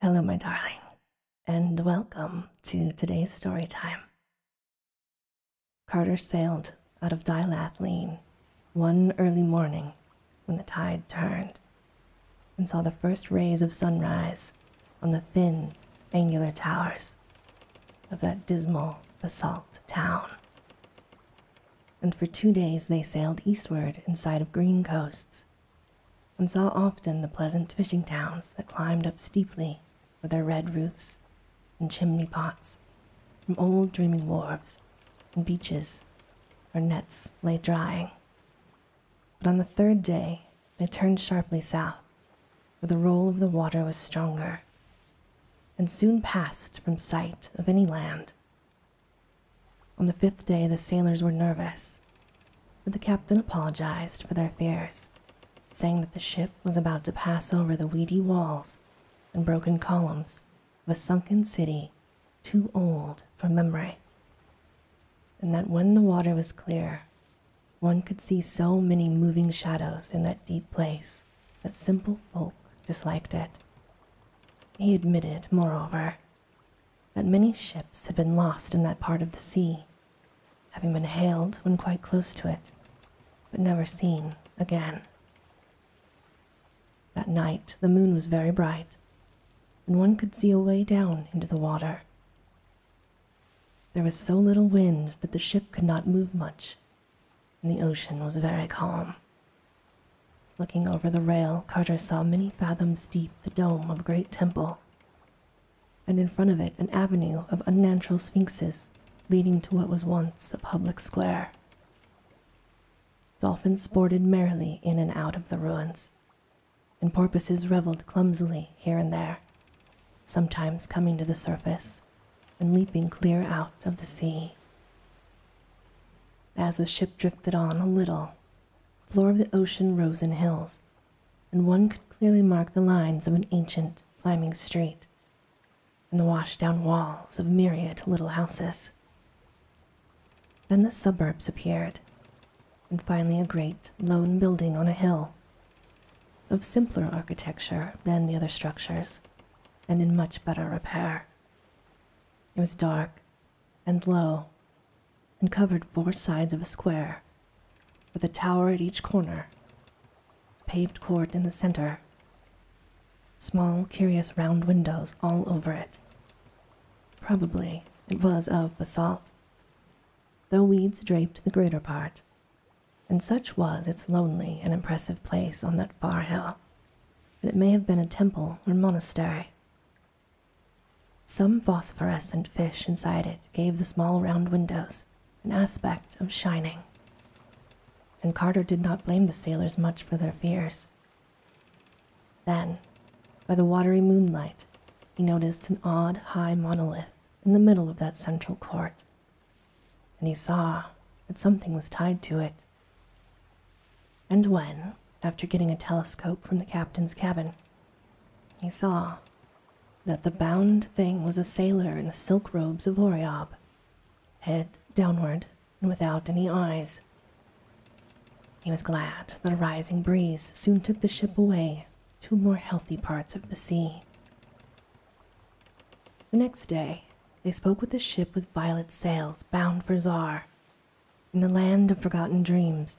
Hello, my darling, and welcome to today's story time. Carter sailed out of Dilathleen one early morning when the tide turned and saw the first rays of sunrise on the thin, angular towers of that dismal basalt town. And for two days they sailed eastward in sight of green coasts and saw often the pleasant fishing towns that climbed up steeply with their red roofs and chimney pots from old dreaming wharves and beaches where nets lay drying. But on the third day, they turned sharply south, for the roll of the water was stronger, and soon passed from sight of any land on the fifth day, the sailors were nervous, but the captain apologized for their fears, saying that the ship was about to pass over the weedy walls and broken columns of a sunken city too old for memory, and that when the water was clear, one could see so many moving shadows in that deep place that simple folk disliked it. He admitted, moreover, that many ships had been lost in that part of the sea, having been hailed when quite close to it, but never seen again. That night the moon was very bright, and one could see away down into the water. There was so little wind that the ship could not move much, and the ocean was very calm. Looking over the rail, Carter saw many fathoms deep the dome of a great temple, and in front of it an avenue of unnatural sphinxes leading to what was once a public square. Dolphins sported merrily in and out of the ruins, and porpoises reveled clumsily here and there, sometimes coming to the surface and leaping clear out of the sea. As the ship drifted on a little, floor of the ocean rose in hills, and one could clearly mark the lines of an ancient climbing street and the washed down walls of myriad little houses. Then the suburbs appeared, and finally a great lone building on a hill of simpler architecture than the other structures and in much better repair. It was dark and low, and covered four sides of a square, with a tower at each corner, a paved court in the center, small, curious round windows all over it. Probably it was of basalt, though weeds draped the greater part, and such was its lonely and impressive place on that far hill that it may have been a temple or monastery some phosphorescent fish inside it gave the small round windows an aspect of shining, and Carter did not blame the sailors much for their fears. Then, by the watery moonlight, he noticed an odd high monolith in the middle of that central court, and he saw that something was tied to it and when, after getting a telescope from the captain's cabin, he saw that the bound thing was a sailor in the silk robes of Oriab, head downward and without any eyes. He was glad that a rising breeze soon took the ship away to more healthy parts of the sea. The next day, they spoke with the ship with violet sails bound for Czar, in the land of forgotten dreams,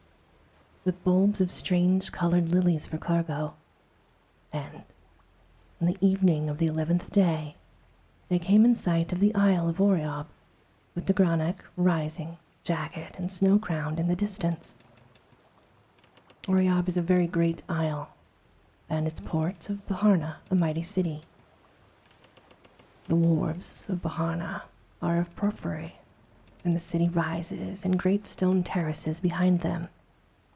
with bulbs of strange colored lilies for cargo. And, on the evening of the eleventh day, they came in sight of the Isle of Oreob, with the Granek rising, jagged and snow crowned in the distance. Oreob is a very great isle, and its port of Baharna, a mighty city, the wharves of Baharna are of porphyry, and the city rises in great stone terraces behind them,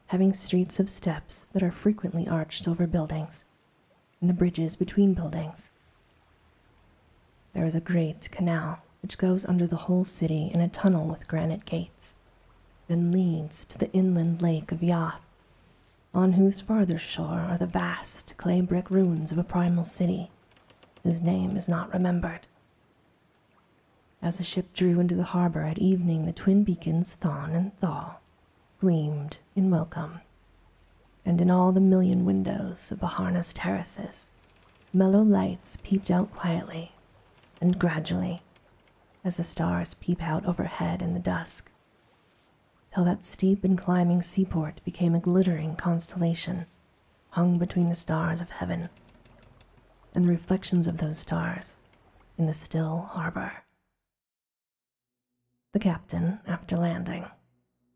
having streets of steps that are frequently arched over buildings, and the bridges between buildings. There is a great canal which goes under the whole city in a tunnel with granite gates, and leads to the inland lake of Yath, on whose farther shore are the vast clay brick ruins of a primal city whose name is not remembered. As the ship drew into the harbor at evening, the twin beacons, Thon and Thaw, gleamed in welcome, and in all the million windows of the harness terraces, mellow lights peeped out quietly, and gradually, as the stars peep out overhead in the dusk, till that steep and climbing seaport became a glittering constellation hung between the stars of heaven and the reflections of those stars in the still harbor. The captain, after landing,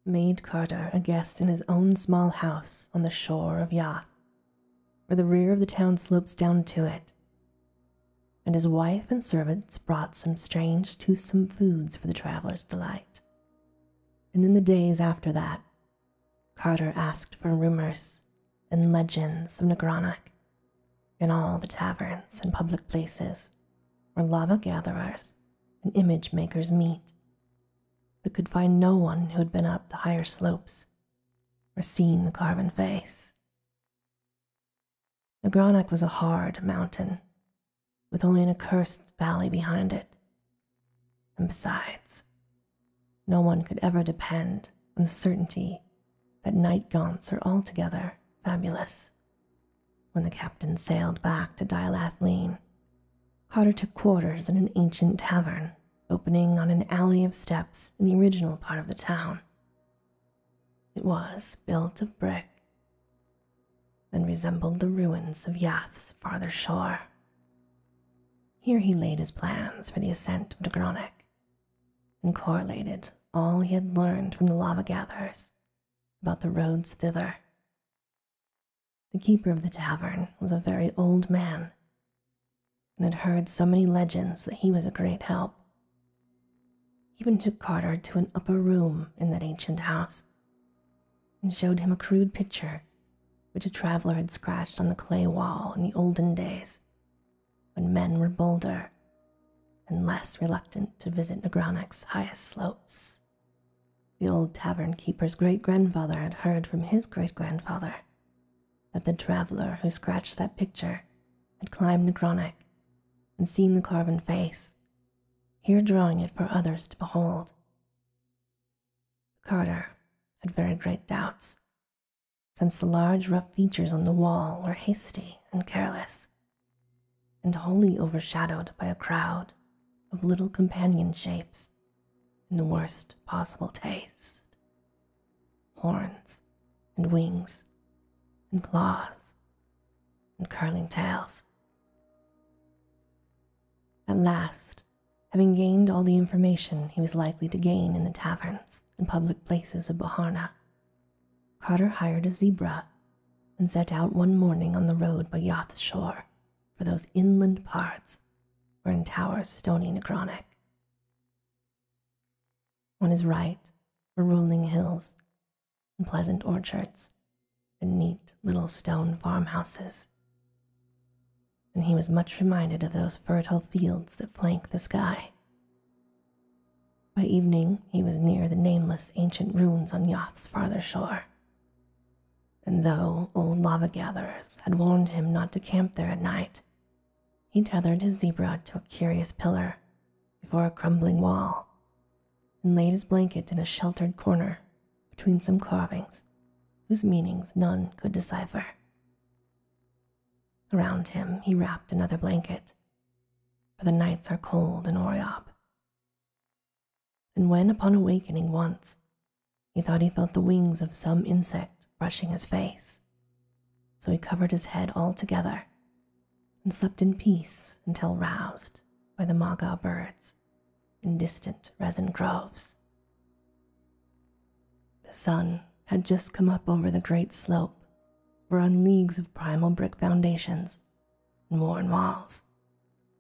made Carter a guest in his own small house on the shore of Yath, where the rear of the town slopes down to it. And his wife and servants brought some strange, toothsome foods for the traveler's delight. And in the days after that, Carter asked for rumors and legends of Negronic in all the taverns and public places where lava gatherers and image makers meet, but could find no one who had been up the higher slopes or seen the carven face. The Nagranach was a hard mountain, with only an accursed valley behind it. And besides, no one could ever depend on the certainty that night gaunts are altogether fabulous. When the captain sailed back to Dialathleen, Carter took quarters in an ancient tavern opening on an alley of steps in the original part of the town. It was built of brick then resembled the ruins of Yath's farther shore. Here he laid his plans for the ascent of Dagronach and correlated all he had learned from the lava gatherers about the roads thither. The keeper of the tavern was a very old man and had heard so many legends that he was a great help. He even took Carter to an upper room in that ancient house and showed him a crude picture which a traveler had scratched on the clay wall in the olden days when men were bolder and less reluctant to visit Negronak's highest slopes. The old tavern keeper's great grandfather had heard from his great grandfather that the traveler who scratched that picture had climbed Negronik and seen the carven face here drawing it for others to behold. Carter had very great doubts, since the large rough features on the wall were hasty and careless, and wholly overshadowed by a crowd of little companion shapes in the worst possible taste horns and wings and claws and curling tails at last, having gained all the information he was likely to gain in the taverns and public places of Baharna, Carter hired a zebra and set out one morning on the road by Yath's shore for those inland parts where in towers stony Necronic. On his right were rolling hills and pleasant orchards and neat little stone farmhouses. And he was much reminded of those fertile fields that flank the sky. By evening, he was near the nameless ancient ruins on Yoth's farther shore. And though old lava gatherers had warned him not to camp there at night, he tethered his zebra to a curious pillar before a crumbling wall and laid his blanket in a sheltered corner between some carvings whose meanings none could decipher. Around him he wrapped another blanket, for the nights are cold in Oryop. And when, upon awakening once, he thought he felt the wings of some insect brushing his face, so he covered his head altogether and slept in peace until roused by the magar birds in distant resin groves. The sun had just come up over the great slope, were on leagues of primal brick foundations and worn walls,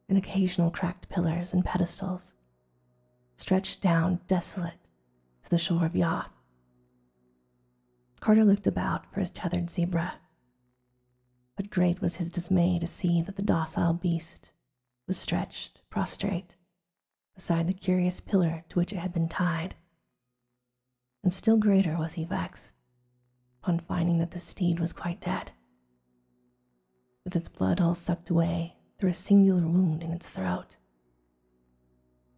and occasional cracked pillars and pedestals, stretched down desolate to the shore of Yath. Carter looked about for his tethered zebra but great was his dismay to see that the docile beast was stretched prostrate beside the curious pillar to which it had been tied. And still greater was he vexed upon finding that the steed was quite dead, with its blood all sucked away through a singular wound in its throat.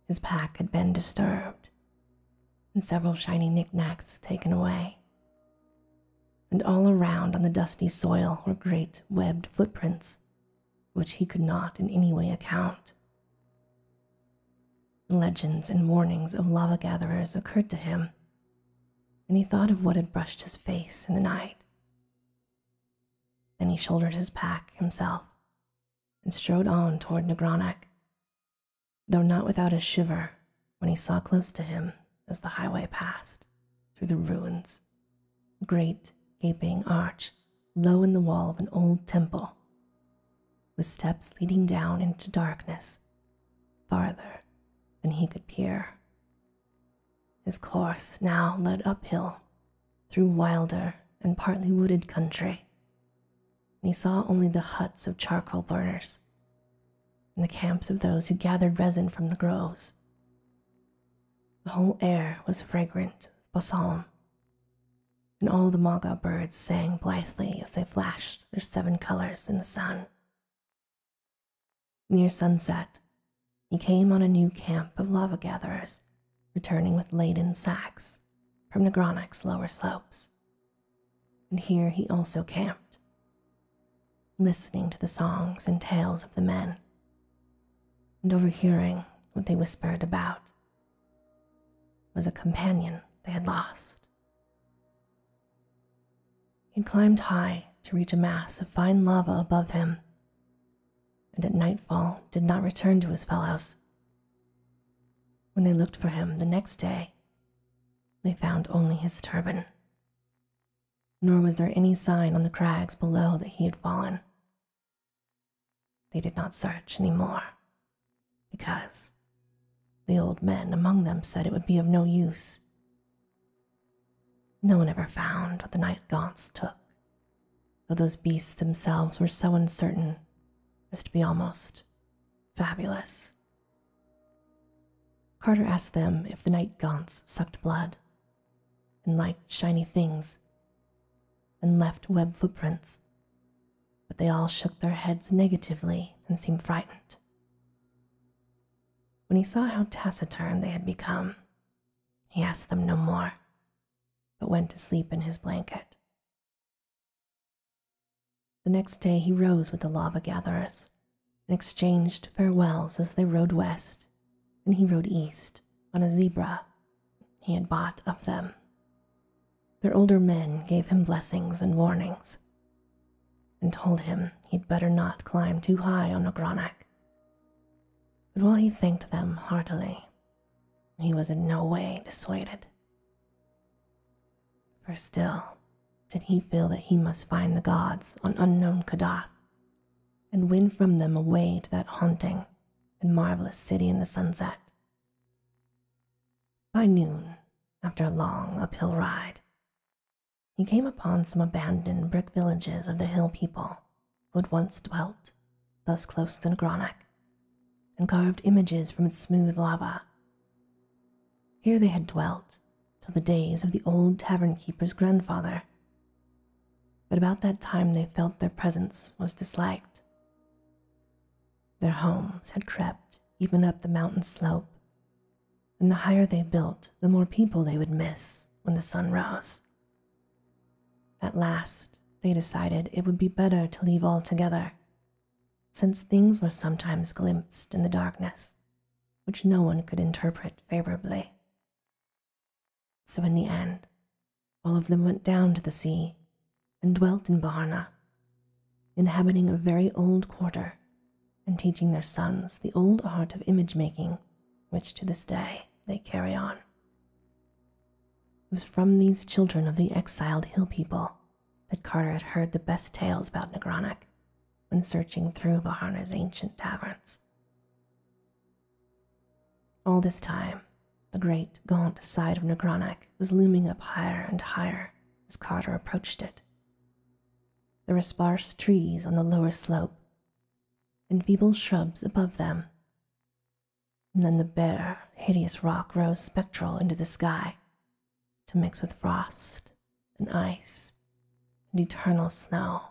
His pack had been disturbed, and several shiny knickknacks taken away. And all around on the dusty soil were great webbed footprints, which he could not in any way account. Legends and warnings of lava gatherers occurred to him, and he thought of what had brushed his face in the night. Then he shouldered his pack himself and strode on toward Negronic, though not without a shiver when he saw close to him as the highway passed through the ruins a great gaping arch low in the wall of an old temple with steps leading down into darkness farther than he could peer his course now led uphill through wilder and partly wooded country and he saw only the huts of charcoal burners and the camps of those who gathered resin from the groves. The whole air was fragrant with balsam, and all the maga birds sang blithely as they flashed their seven colors in the sun. Near sunset, he came on a new camp of lava gatherers, returning with laden sacks from Negronic's lower slopes and here he also camped, listening to the songs and tales of the men, and overhearing what they whispered about was a companion they had lost. He climbed high to reach a mass of fine lava above him, and at nightfall did not return to his fellows. When they looked for him the next day, they found only his turban. Nor was there any sign on the crags below that he had fallen. They did not search any more, because the old men among them said it would be of no use. No one ever found what the night gaunts took, though those beasts themselves were so uncertain as to be almost Fabulous. Carter asked them if the night gaunts sucked blood and liked shiny things and left web footprints, but they all shook their heads negatively and seemed frightened. When he saw how taciturn they had become, he asked them no more, but went to sleep in his blanket. The next day he rose with the lava gatherers and exchanged farewells as they rode west, and he rode east on a zebra he had bought of them. Their older men gave him blessings and warnings and told him he'd better not climb too high on Agronak. But while he thanked them heartily, he was in no way dissuaded. For still did he feel that he must find the gods on unknown Kadath and win from them a way to that haunting and marvelous city in the sunset. By noon, after a long uphill ride, he came upon some abandoned brick villages of the hill people who had once dwelt thus close to Negronic and carved images from its smooth lava. Here they had dwelt till the days of the old tavern keeper's grandfather. But about that time they felt their presence was disliked. Their homes had crept even up the mountain slope, and the higher they built, the more people they would miss when the sun rose. At last, they decided it would be better to leave altogether since things were sometimes glimpsed in the darkness which no one could interpret favorably. So in the end, all of them went down to the sea and dwelt in Baharna, inhabiting a very old quarter and teaching their sons the old art of image making, which to this day they carry on. It was from these children of the exiled hill people that Carter had heard the best tales about Negronic when searching through Bahana's ancient taverns. All this time, the great, gaunt side of Negronic was looming up higher and higher as Carter approached it. There were sparse trees on the lower slope and feeble shrubs above them, and then the bare, hideous rock rose spectral into the sky to mix with frost and ice and eternal snow.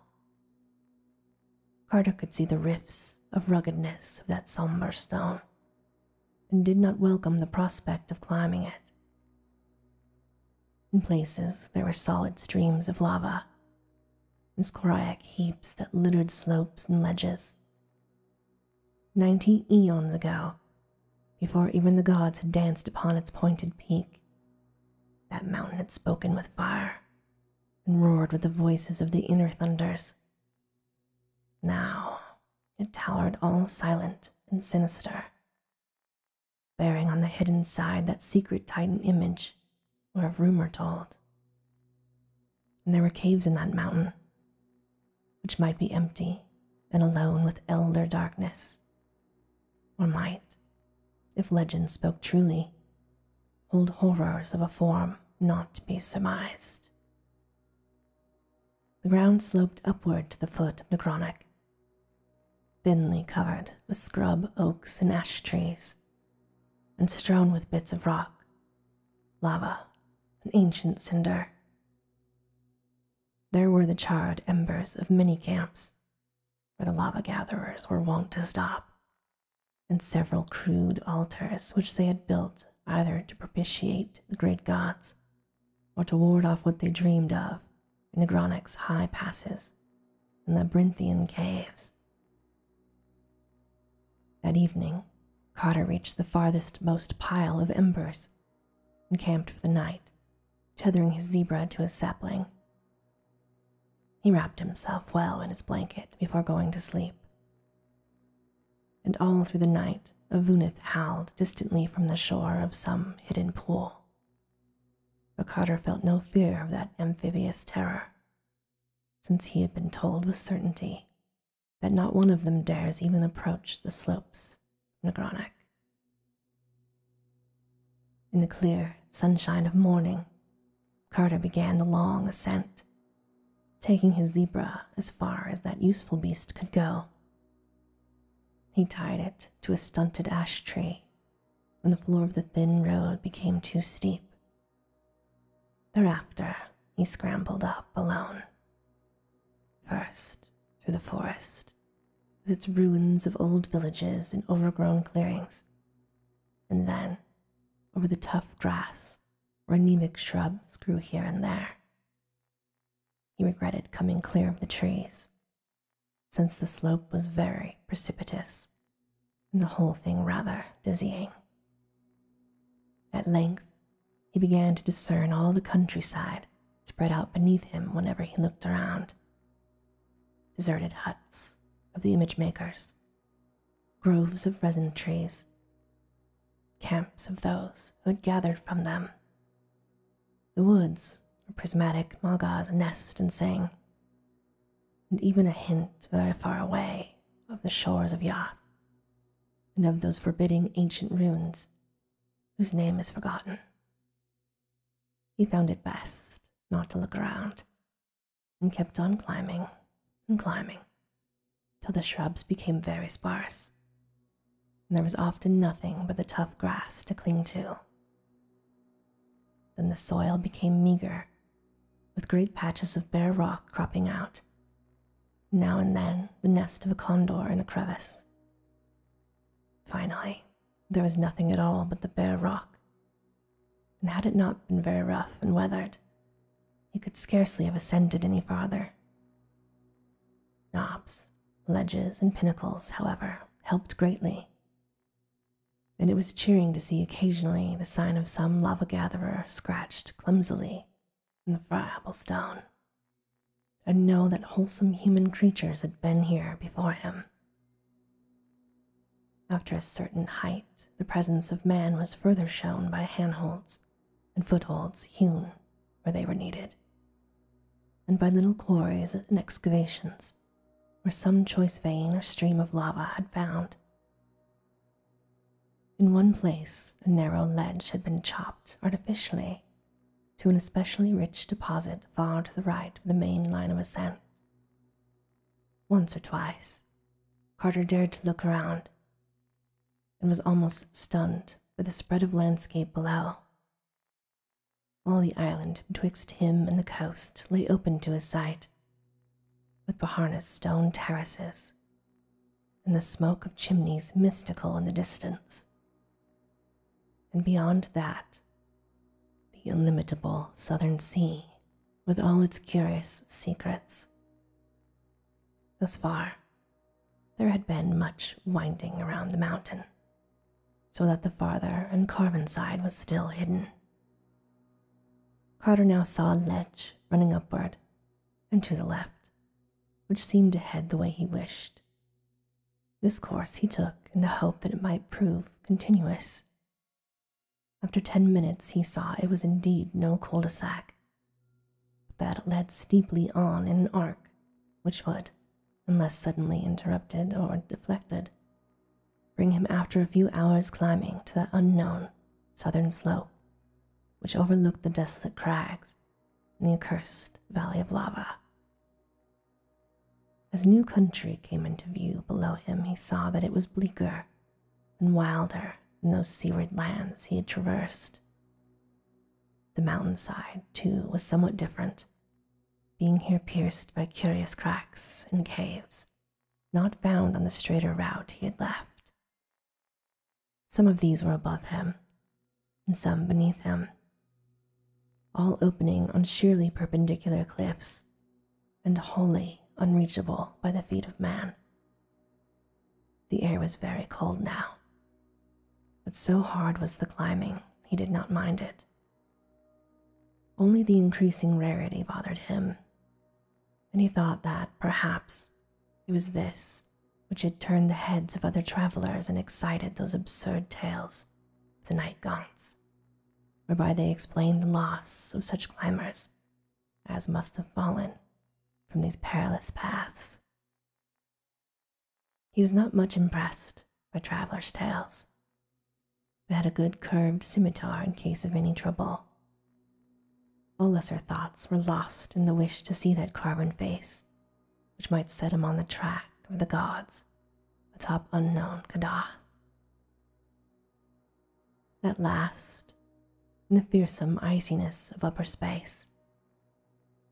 Carter could see the rifts of ruggedness of that somber stone and did not welcome the prospect of climbing it. In places, there were solid streams of lava and scoriac heaps that littered slopes and ledges Ninety eons ago, before even the gods had danced upon its pointed peak, that mountain had spoken with fire and roared with the voices of the inner thunders. Now it towered all silent and sinister, bearing on the hidden side that secret Titan image where of rumor told and there were caves in that mountain, which might be empty and alone with elder darkness, or might, if legend spoke truly, hold horrors of a form not to be surmised. The ground sloped upward to the foot of Necronic, thinly covered with scrub oaks and ash trees, and strewn with bits of rock lava, an ancient cinder. There were the charred embers of many camps where the lava gatherers were wont to stop, and several crude altars which they had built either to propitiate the great gods or to ward off what they dreamed of in the Agronic's high passes and the labyrinthian caves. That evening, Carter reached the farthest most pile of embers and camped for the night, tethering his zebra to a sapling. He wrapped himself well in his blanket before going to sleep. And all through the night, a Avunith howled distantly from the shore of some hidden pool. But Carter felt no fear of that amphibious terror, since he had been told with certainty that not one of them dares even approach the slopes of Negronic. In the clear sunshine of morning, Carter began the long ascent, taking his zebra as far as that useful beast could go. He tied it to a stunted ash tree when the floor of the thin road became too steep Thereafter, he scrambled up alone. First, through the forest, with its ruins of old villages and overgrown clearings, and then over the tough grass where anemic shrubs grew here and there. He regretted coming clear of the trees, since the slope was very precipitous, and the whole thing rather dizzying. At length, he began to discern all the countryside spread out beneath him whenever he looked around deserted huts of the image makers, groves of resin trees, camps of those who had gathered from them. The woods where prismatic magas nest and sing, and even a hint very far away of the shores of Yath and of those forbidding ancient ruins whose name is forgotten. He found it best not to look around and kept on climbing and climbing till the shrubs became very sparse, and there was often nothing but the tough grass to cling to. Then the soil became meager, with great patches of bare rock cropping out now and then the nest of a condor in a crevice. Finally, there was nothing at all but the bare rock, and had it not been very rough and weathered, he could scarcely have ascended any farther. Knobs, ledges, and pinnacles, however, helped greatly, and it was cheering to see occasionally the sign of some lava gatherer scratched clumsily in the friable stone, and know that wholesome human creatures had been here before him. After a certain height, the presence of man was further shown by handholds and footholds hewn where they were needed, and by little quarries and excavations where some choice vein or stream of lava had found in one place, a narrow ledge had been chopped artificially to an especially rich deposit far to the right of the main line of ascent. Once or twice, Carter dared to look around and was almost stunned by the spread of landscape below. All the island betwixt him and the coast lay open to his sight, with Bahana's stone terraces and the smoke of chimneys mystical in the distance. And beyond that, the illimitable southern sea with all its curious secrets. Thus far, there had been much winding around the mountain, so that the farther and carven side was still hidden. Carter now saw a ledge running upward and to the left, which seemed to head the way he wished. This course he took in the hope that it might prove continuous. After ten minutes, he saw it was indeed no cul de sac, but that it led steeply on in an arc which would, unless suddenly interrupted or deflected, bring him after a few hours' climbing to that unknown southern slope, which overlooked the desolate crags and the accursed valley of lava. As new country came into view below him, he saw that it was bleaker and wilder than those seaward lands he had traversed. The mountainside, too, was somewhat different, being here pierced by curious cracks and caves not found on the straighter route he had left. Some of these were above him, and some beneath him, all opening on sheerly perpendicular cliffs and wholly unreachable by the feet of man. The air was very cold now, but so hard was the climbing he did not mind it. Only the increasing rarity bothered him, and he thought that perhaps it was this which had turned the heads of other travelers and excited those absurd tales of the night gaunts, whereby they explained the loss of such climbers as must have fallen from these perilous paths. He was not much impressed by travellers' tales, He had a good curved scimitar in case of any trouble all lesser thoughts were lost in the wish to see that carven face, which might set him on the track of the gods atop unknown Kadath. At last, in the fearsome iciness of upper space,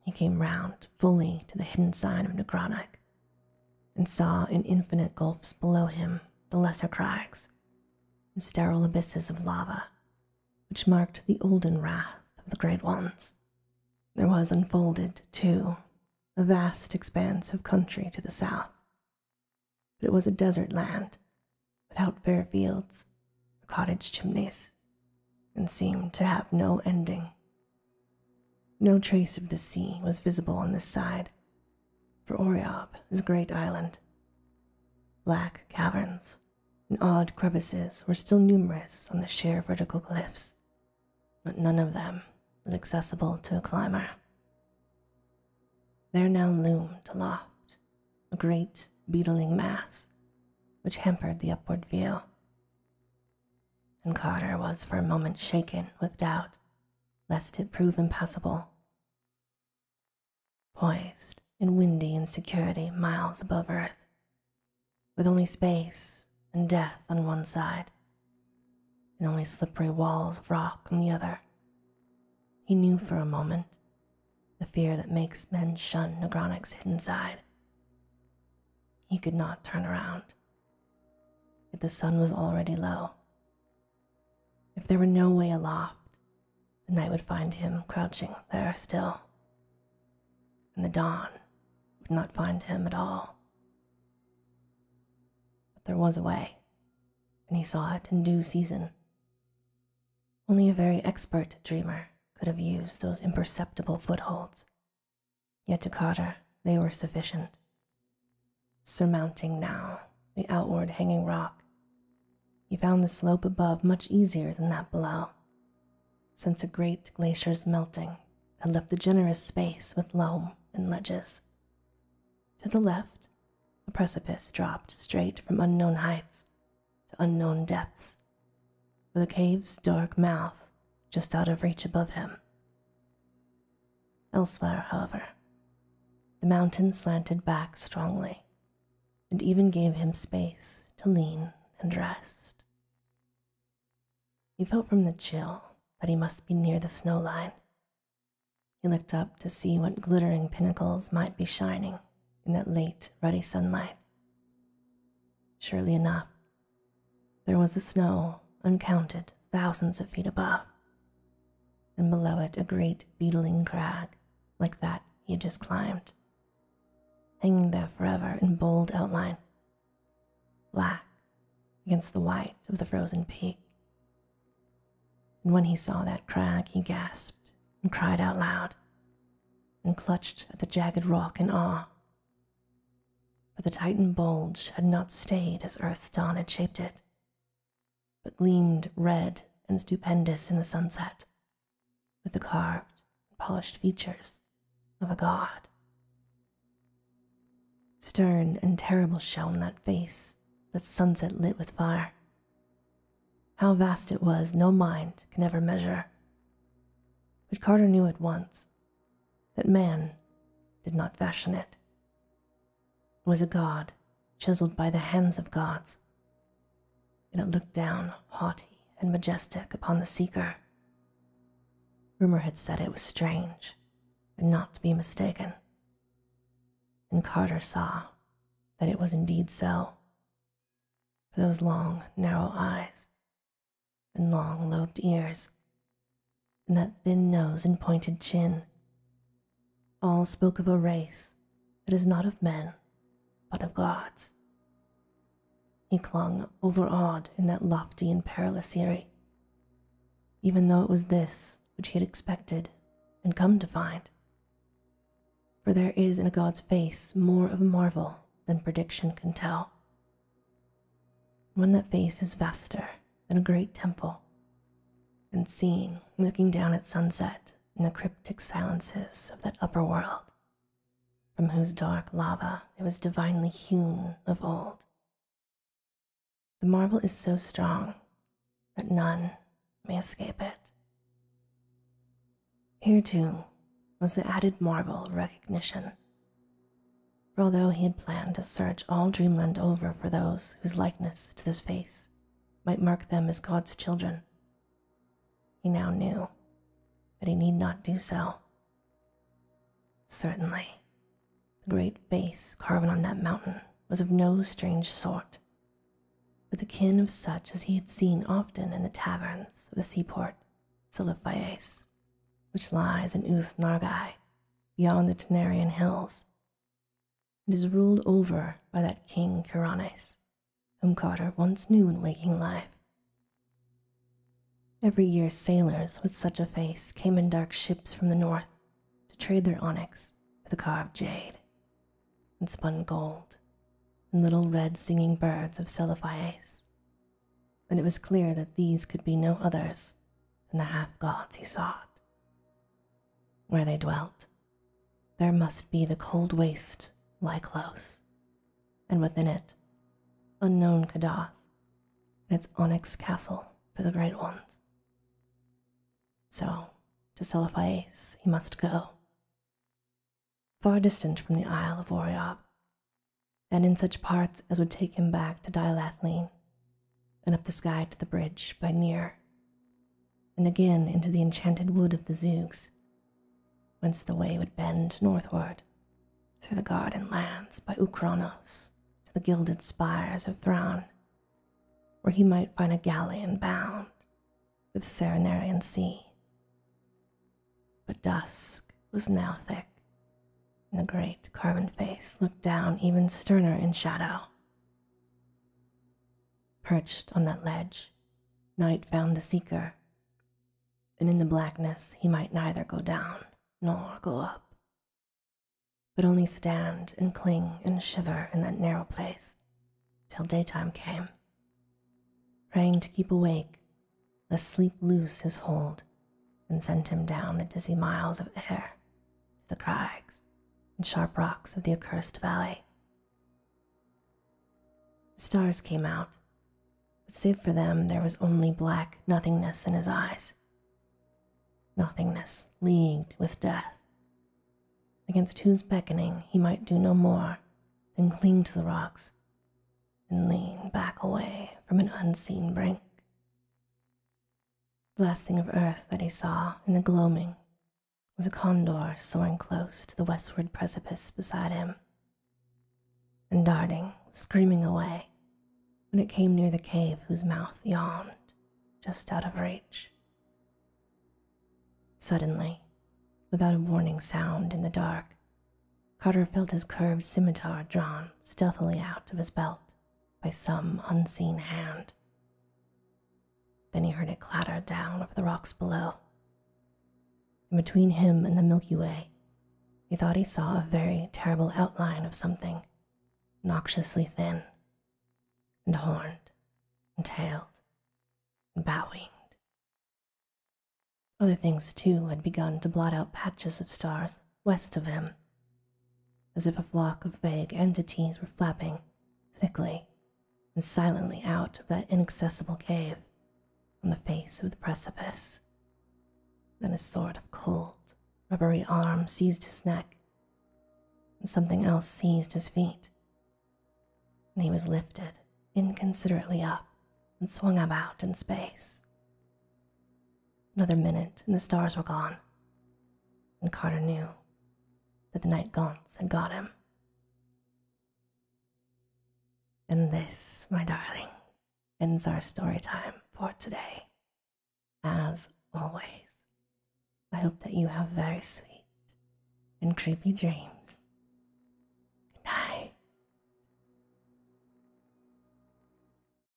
he came round fully to the hidden sign of Necronic and saw in infinite gulfs below him the lesser crags and sterile abysses of lava, which marked the olden wrath of the Great Ones. There was unfolded, too, a vast expanse of country to the south. But it was a desert land, without fair fields or cottage chimneys, and seemed to have no ending. No trace of the sea was visible on this side for Oreob, is a great island. Black caverns and odd crevices were still numerous on the sheer vertical cliffs, but none of them was accessible to a climber. There now loomed aloft a great beetling mass which hampered the upward view. And Carter was for a moment shaken with doubt lest it prove impassable poised in windy insecurity miles above Earth, with only space and death on one side, and only slippery walls of rock on the other. He knew for a moment the fear that makes men shun Negronic's hidden side. He could not turn around, yet the sun was already low if there were no way aloft, the night would find him crouching there still, and the dawn would not find him at all. But there was a way, and he saw it in due season. Only a very expert dreamer could have used those imperceptible footholds, yet to Carter they were sufficient Surmounting now the outward hanging rock, he found the slope above much easier than that below, since a great glacier's melting had left a generous space with loam and ledges. To the left, a precipice dropped straight from unknown heights to unknown depths, with a cave's dark mouth just out of reach above him. Elsewhere, however, the mountain slanted back strongly and even gave him space to lean and rest. He felt from the chill that he must be near the snow line. He looked up to see what glittering pinnacles might be shining in that late, ruddy sunlight. Surely enough, there was a snow uncounted thousands of feet above, and below it a great beetling crag like that he had just climbed, hanging there forever in bold outline, black against the white of the frozen peak. And when he saw that crag, he gasped and cried out loud and clutched at the jagged rock in awe. But the Titan bulge had not stayed as Earth's dawn had shaped it, but gleamed red and stupendous in the sunset, with the carved and polished features of a god. Stern and terrible shone that face, that sunset lit with fire. How vast it was, no mind can ever measure. But Carter knew at once that man did not fashion it, was a god chiseled by the hands of gods, and it looked down, haughty and majestic, upon the seeker. Rumor had said it was strange and not to be mistaken, and Carter saw that it was indeed so. For those long, narrow eyes and long, lobed ears and that thin nose and pointed chin. All spoke of a race that is not of men, but of gods. He clung overawed in that lofty and perilous eyrie, even though it was this which he had expected and come to find. For there is in a god's face more of marvel than prediction can tell. one that face is vaster than a great temple, and seen looking down at sunset in the cryptic silences of that upper world, from whose dark lava it was divinely hewn of old. The marble is so strong that none may escape it. Here, too, was the added marvel of recognition. For although he had planned to search all Dreamland over for those whose likeness to this face might mark them as God's children. He now knew that he need not do so. Certainly, the great face carven on that mountain was of no strange sort, but the kin of such as he had seen often in the taverns of the seaport Silifaes, which lies in Uth Nargai, beyond the Tenarian hills, and is ruled over by that king Caranes, whom Carter once knew in waking life. Every year, sailors with such a face came in dark ships from the north to trade their onyx for the carved jade, and spun gold and little red singing birds of Celephaes. And it was clear that these could be no others and the half gods he sought. Where they dwelt, there must be the cold waste lie close, and within it, unknown Kadath and its onyx castle for the great ones. So, to Selophaes he must go, far distant from the Isle of Oriob, and in such parts as would take him back to Dilathleen then up the sky to the bridge by Near, and again into the enchanted wood of the Zoogs, whence the way would bend northward through the garden lands by Ucranos, to the gilded spires of Thrawn, where he might find a galleon bound for the Serenarian Sea. But dusk was now thick, and the great carven face looked down even sterner in shadow. Perched on that ledge, night found the seeker, and in the blackness he might neither go down nor go up, but only stand and cling and shiver in that narrow place till daytime came, praying to keep awake, lest sleep loose his hold and sent him down the dizzy miles of air to the crags and sharp rocks of the accursed valley. The stars came out, but save for them, there was only black nothingness in his eyes. Nothingness leagued with death, against whose beckoning he might do no more than cling to the rocks and lean back away from an unseen brink. The last thing of earth that he saw in the gloaming was a condor soaring close to the westward precipice beside him and darting, screaming away when it came near the cave whose mouth yawned just out of reach. Suddenly, without a warning sound in the dark, Carter felt his curved scimitar drawn stealthily out of his belt by some unseen hand. Then he heard it clatter down over the rocks below. And between him and the Milky Way, he thought he saw a very terrible outline of something, noxiously thin, and horned, and tailed, and bat winged. Other things, too, had begun to blot out patches of stars, west of him, as if a flock of vague entities were flapping thickly and silently out of that inaccessible cave on the face of the precipice. Then a sort of cold, rubbery arm seized his neck, and something else seized his feet, and he was lifted inconsiderately up and swung about in space. Another minute, and the stars were gone. And Carter knew that the night gaunts had got him. And this, my darling, ends our story time for today. As always, I hope that you have very sweet and creepy dreams. Good night.